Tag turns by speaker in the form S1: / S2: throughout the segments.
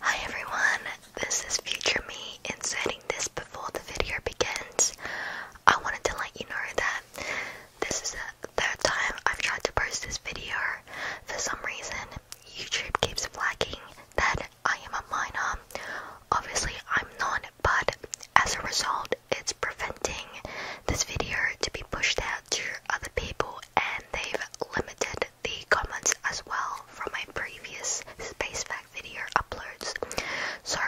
S1: Hi everyone, this is future me inserting this before the video begins. I wanted to let you know that this is the third time I've tried to post this video. For some reason, YouTube keeps flagging that I am a minor. Obviously, I'm not, but as a result, it's preventing this video to be pushed out to other people and they've limited the comments as well from my previous Space Fact video uploads. So,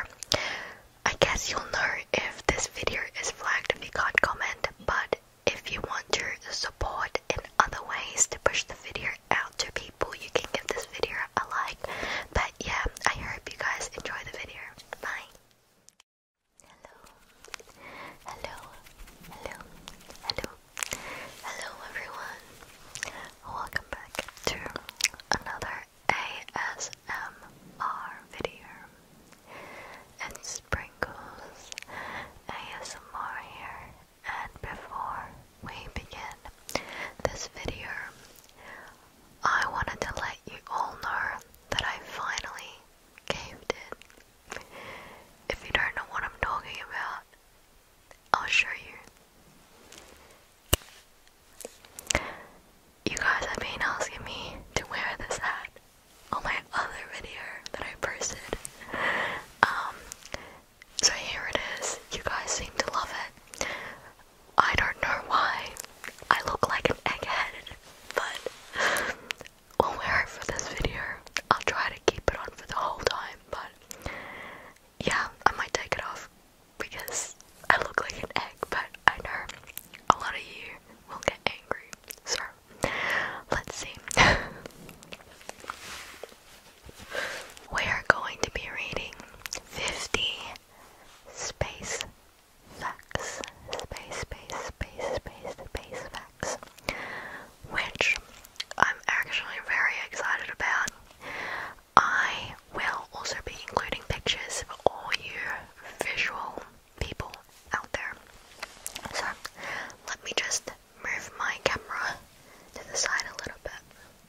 S1: I guess you'll know if this video is flagged if you can't comment, but if you want to support in other ways to push the video out to people, you can give this video a like. But yeah, I hope you guys enjoy the video. Bye. Hello. Hello. Hello. Hello. Hello everyone. Welcome back to another ASMR video. It's Sprinkles ASMR here. And before we begin this video, I wanted to let you all know that I finally caved in if you don't know what I'm talking about, I'll show you. You guys have been asking me to wear this hat on my other video that I posted. Um, so here it is. You guys seem to love it. I don't know why I look like an egghead, but will wear it for this video. I'll try to keep it on for the whole time, but yeah, I might take it off because I look like an egg, but I know a lot of you will get angry. So let's see. we are going to be reading 50 space facts. Space, space, space, space, space facts which I'm actually very excited about. I will also be including pictures for all you visual people out there. So let me just move my camera to the side a little bit.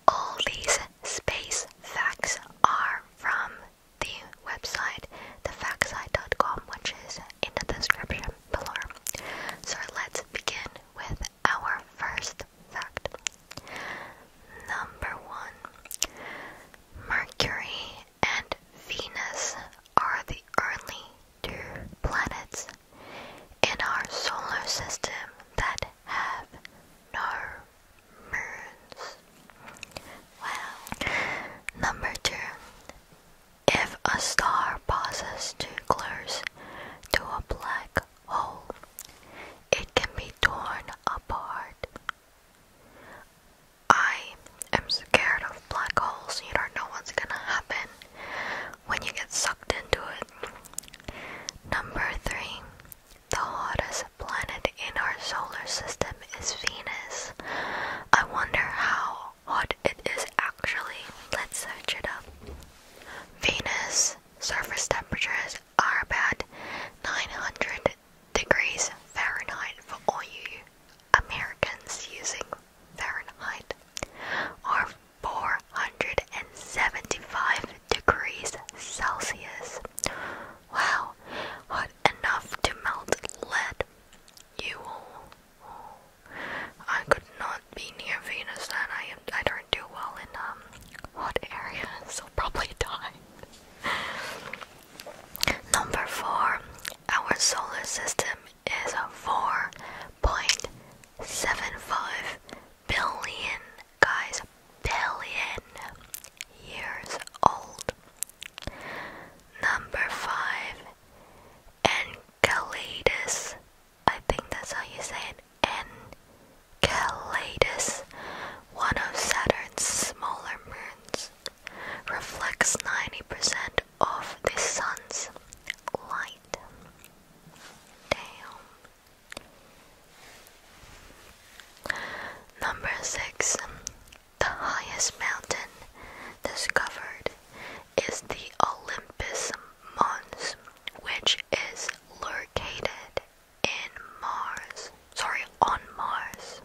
S1: All these space facts are from the website thefactsite.com, which is in the description below. So let's begin with our first fact. Number one Mercury and Venus are the only two planets in our solar system that have no moons. Well, Number two if a star passes too close to a black hole, it can be torn apart. I am scared of black holes. You don't know what's gonna happen when you get sucked into it. Number three, the hottest planet in our solar system is Venus. I wonder how what it is actually. Let's search it up. Venus surface temperatures are about 900 degrees Fahrenheit for all you Americans using Fahrenheit, or 475 degrees Celsius. Wow, hot enough to melt lead. You all. I could not be near Venus then. I am I don't do well in um hot areas. So probably die. Number four, our solar system is four point seven five billion guys billion years old. Number five, Calidus. I think that's how you say it. Enceladus, one of Saturn's smaller moons, reflects 90% of the sun's light. Damn. Number 6. The highest mountain discovered is the Olympus Mons, which is located in Mars, sorry, on Mars.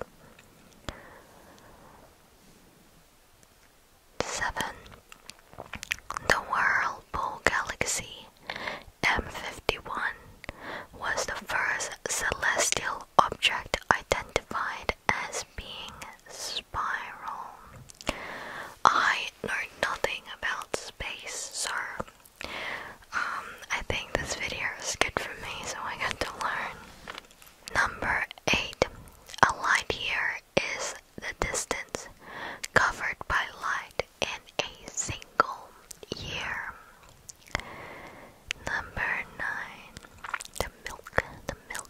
S1: 7. The Whirlpool Galaxy M51 was the first celestial object identified as being spiral. I know nothing about space, sir. Um, I think this video is good for me, so I got to learn. Number 8. A light year is the distance covered by light in a single year. Number 9. The milk, the milk.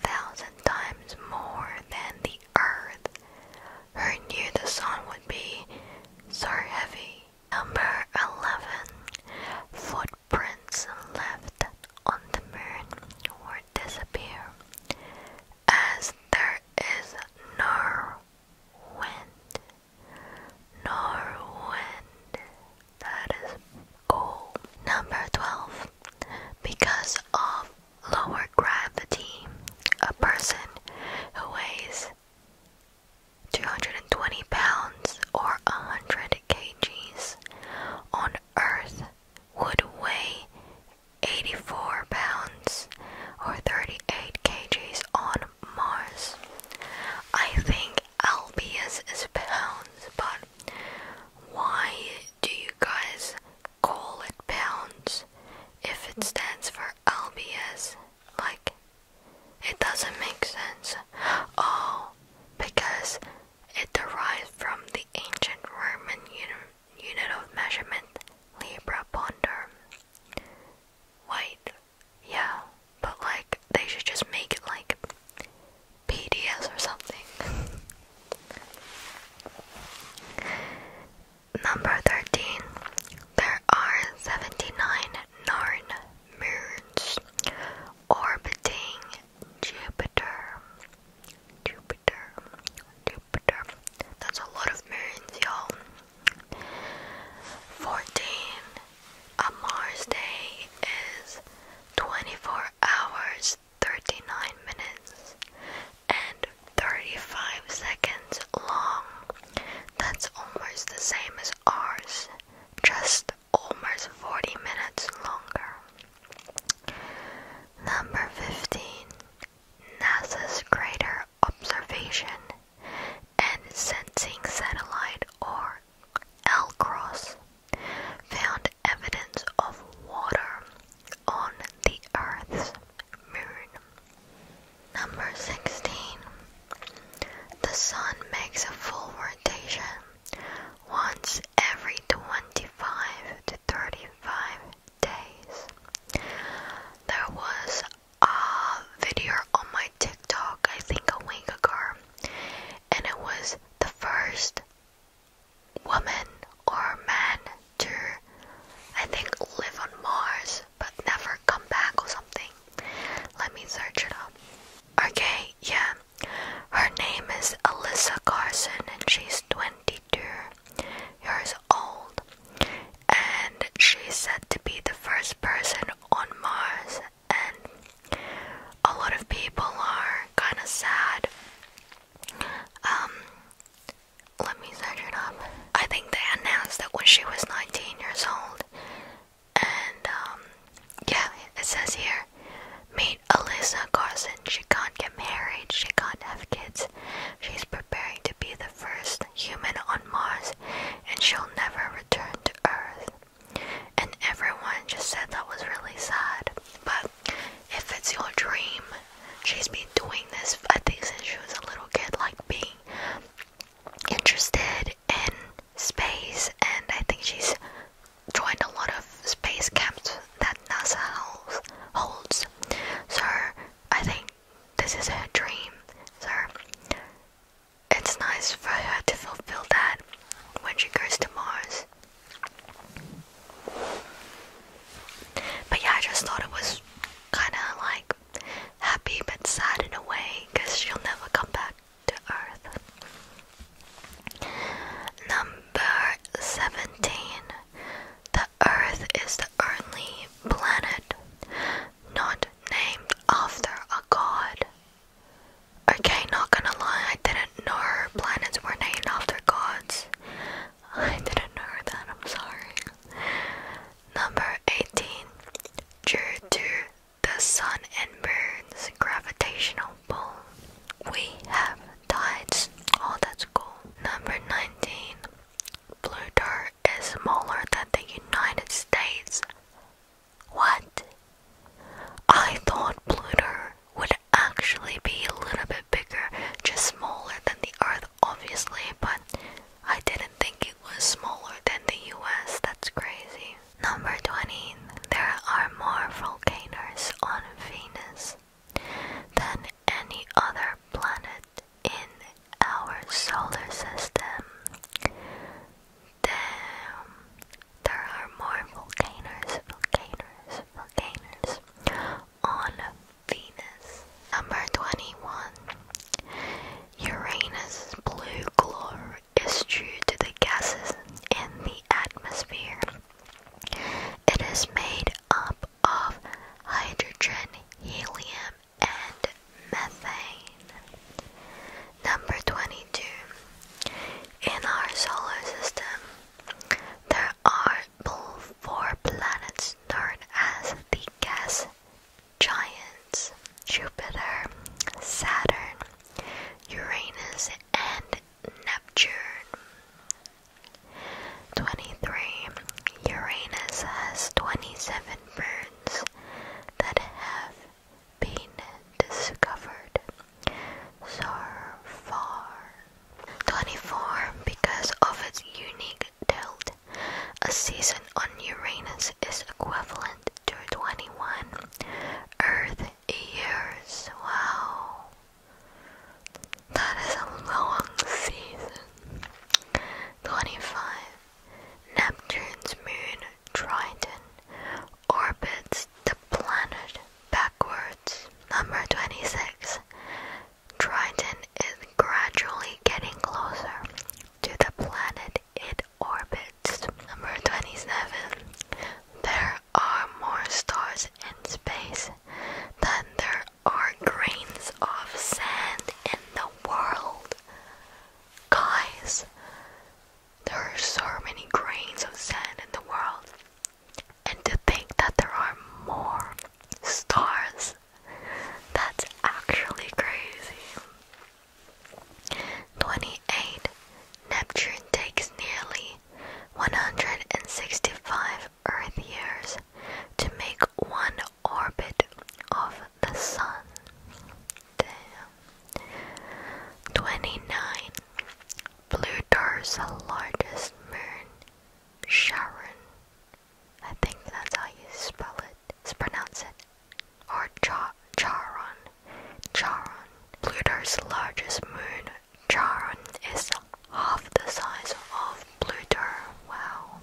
S1: thousand times more than the earth. Who knew the sun would be so heavy? Number 11. Footprints left on the moon would disappear as there is no wind. No wind. That is cool. Number 12. Because of lower gravity, a person who weighs 220 pounds or 100 kgs on Earth would weigh 84 pounds or 38 kgs on Mars. I think Albius is pounds, but why do you guys call it pounds if it stands for LBS? Like, it doesn't make sense. Oh, because it derives from the ancient Roman unit of measurement, libra ponder. Wait, yeah, but like, they should just make it like PDS or something. Number 13. There are 79 Narn moons orbiting Jupiter. Jupiter. Jupiter. That's a lot of moons, y'all. 14. A Mars day is 24 hours, 39 minutes, and 35 seconds long. That's almost the same as ours, just almost 40 minutes longer. Number 15 NASA's Greater Observation and Sensing Satellite or LCROSS found evidence of water on the Earth's moon. Number 16. The Sun makes a full rotation once every 25 to 35 days. There was a video on my TikTok, I think a week ago, and it was the first woman or man to, I think, live on Mars but never come back or something. Let me search it up. Okay, yeah. Her name is Alyssa Carson and she's 22 years old. And she's said to be the first person on Mars. And a lot of people are kind of sad um, let me search it up. I think they announced that when she was 19 years old. And, um, yeah, it says here meet Alyssa Carson. She can't get married, she can't have kids. She's preparing to be the first human on Mars, and she'll never return to Earth. And everyone just said that was really sad. But if it's your dream, she's been doing this, I think, since she was a little kid, like being interested in space, and I think she's joined a lot of space camps that NASA holds. So, I think this is her dream. So, it's nice for her to fulfill that when she goes to Mars. But yeah, I just thought it was kind of like happy but sad in a way she'll never come back to Earth. Number 17. The Earth is the only planet not named after a god. Okay, not gonna lie, I didn't know planets were named after gods. I didn't know that, I'm sorry. Number 18. Due to the sun and moon's gravitational pull, we have tides. Oh, that's cool. Number 19. Pluto is smaller than the United States. What? I thought Pluto would actually be a little bit bigger, just smaller than the Earth, obviously, but I didn't think it was smaller than the US. That's crazy. Number 20. There are more volcanoes on Venus than any other planet in our solar system. Damn there are more volcanoes, volcanoes, volcanoes on Venus. Number 21. Uranus' blue glow is due to the gases in the atmosphere. It is made up of hydrogen, helium, and methane. Number 22. In our solar system, there are four planets known as the gas giants Jupiter, Saturn, Uranus, and Neptune. 23. Uranus has 27 moons that have been discovered so far. 24. Because of its unique tilt, a season on Uranus is equivalent to 21 Earth years. Wow. That is a long season. 25. Neptune's moon Triton orbits the planet backwards. Number 26. Triton is gradually getting closer to the planet it orbits. Number 27. There are more stars in space than there are grains of sand in the world. Guys, there are so many grains of sand in the world, and to think that there are more stars, that's actually crazy. 28. Neptune takes nearly 165 Earth years to make one orbit of the Sun. Damn. 29. Pluto's largest moon, Charon. I think that's how you spell it. It's pronounce it. Or Cha Charon. Charon. Pluto's largest moon, Charon, is half the size of Pluto. Wow.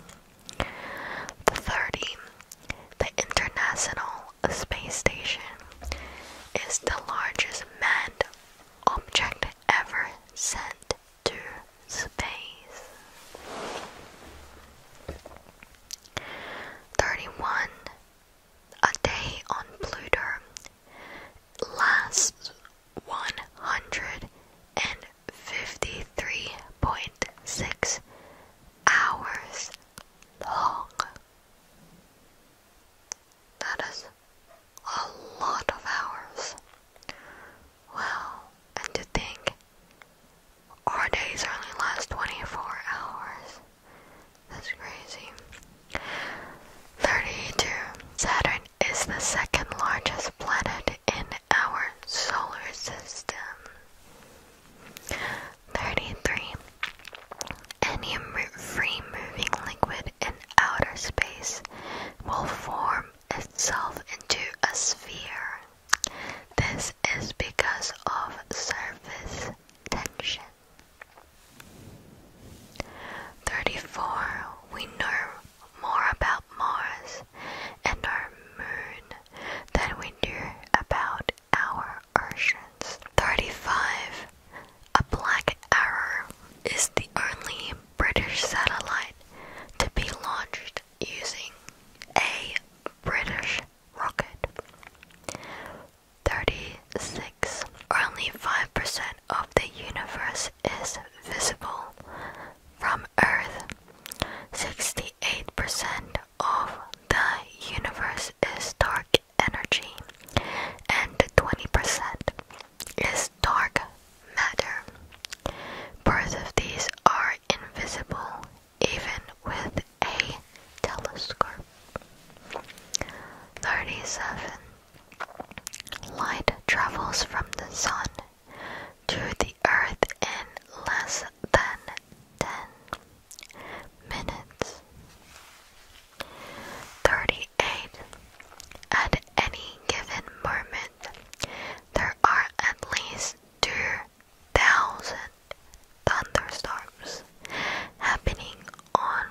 S1: The 30. The International a space station is the largest manned object ever sent to space. 31 A day on Pluto lasts 153.6 hours long. That is a lot of hours. Well, and to think, our days only last 24 hours. That's crazy. 32. Saturn is the second largest planet in our solar system. 33. Any free moving liquid in outer space will form itself into a sphere. This is because of surface tension. 34. We know more about Mars and our moon than we do about our 35. A Black Arrow is the only British satellite to be launched using a British rocket. 36. Only 5% of the universe is visible from Earth. 68% of the universe 20 is dark energy and 20% is dark matter. Both of these are invisible even with a telescope. 37. Light travels from the sun to the earth in less than 10 minutes. 38. At any given moment, there are at least 2,000 thunderstorms happening on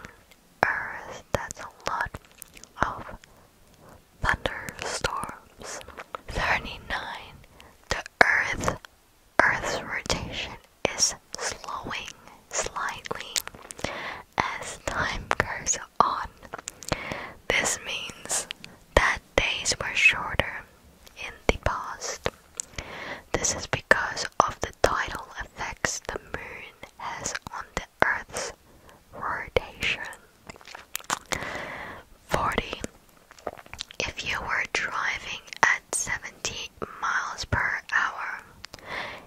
S1: Earth. That's a lot of thunderstorms. 39. The Earth Earth's rotation is slowing slightly as time goes on. This means that days were shorter in the past. This is because of the tidal effects the moon has on the Earth's rotation. 40. If you were driving 70 miles per hour.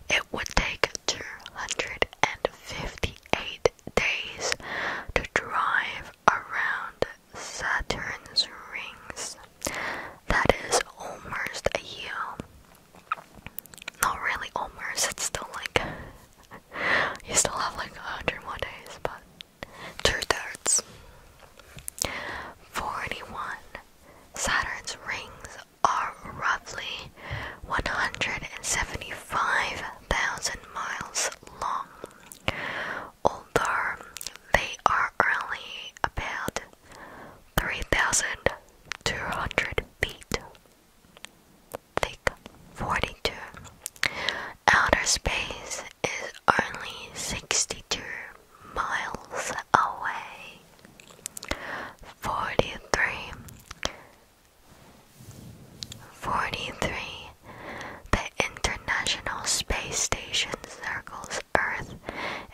S1: It would take 258 days to drive around Saturn's rings. That is almost a year. Not really almost, it's still like. you still have like 100 more days, but two thirds. 41 Saturn's rings are roughly 175,000 miles long, although they are only about 3,200 feet thick. 42. Outer space is only 62 miles away. Forty three. Forty three. The International Space Station circles Earth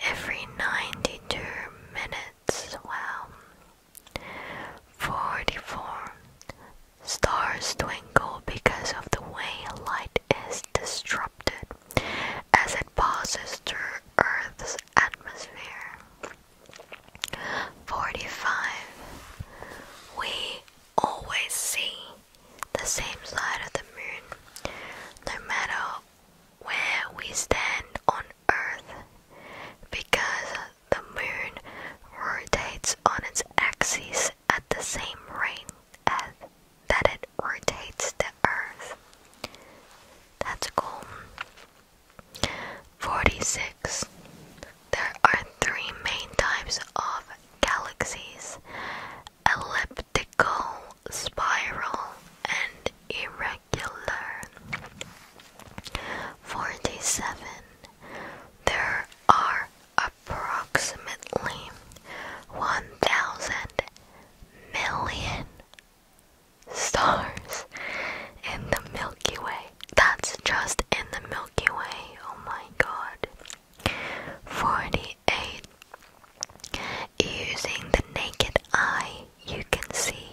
S1: every ninety two minutes. Well, Forty four. Stars twinkle because of the way light is disrupted as it passes through Earth's atmosphere. 45. We always see the same side of the moon, no matter where we stand on Earth, because the moon rotates on its axis at the same rate as that it rotates the earth. That's cool. 46. There are three main types of galaxies elliptical, spiral, and irregular. 47. There are approximately 1,000 million stars in the Milky Way. That's just in the Milky Way. Oh my god. 48. Using the naked eye, you can see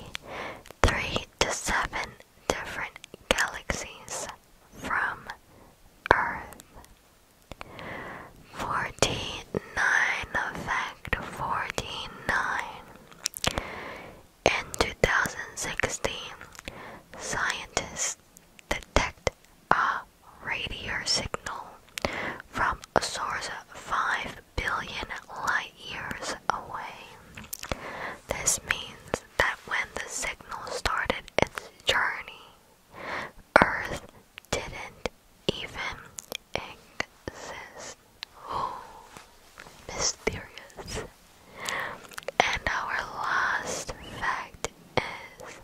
S1: 3 to 7 different galaxies from Earth. Forty nine fact forty nine. In 2016, scientists detected a radio signal from a source 5 billion light years away. This means that when the signal started its journey Earth didn't even exist. Oh, mysterious. And our last fact is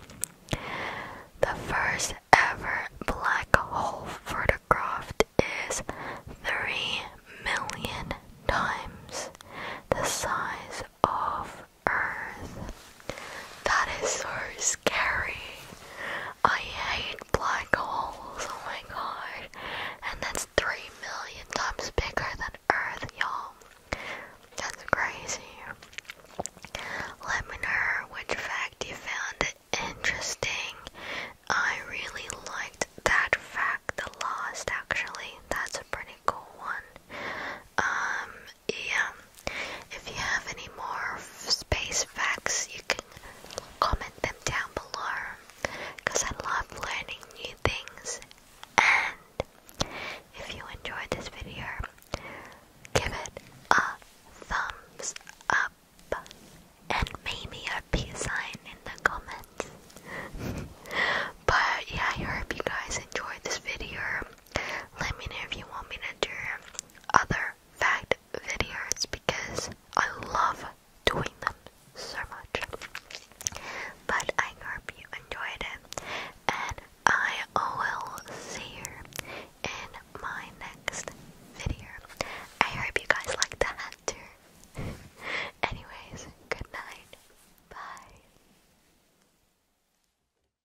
S1: the first ever black hole photographed is 3 million times the size of Earth. That is so scary. I hate black holes, oh my god. And that's 3 million times bigger than Earth, y'all. That's crazy. Let me know which fact you found interesting. I really liked that fact the last actually. That's a pretty cool one. Um and if you have any more space facts, you can comment them down below because I love learning new things. And if you enjoyed this video, give it a thumbs up and maybe a peace sign in the comments. but yeah, I hope you guys enjoyed this video. Let me know if you want me to do other fact videos because I love doing them so much. But I hope you enjoyed it, and I will see you in my next video. I hope you guys like the too. Anyways, good night. Bye.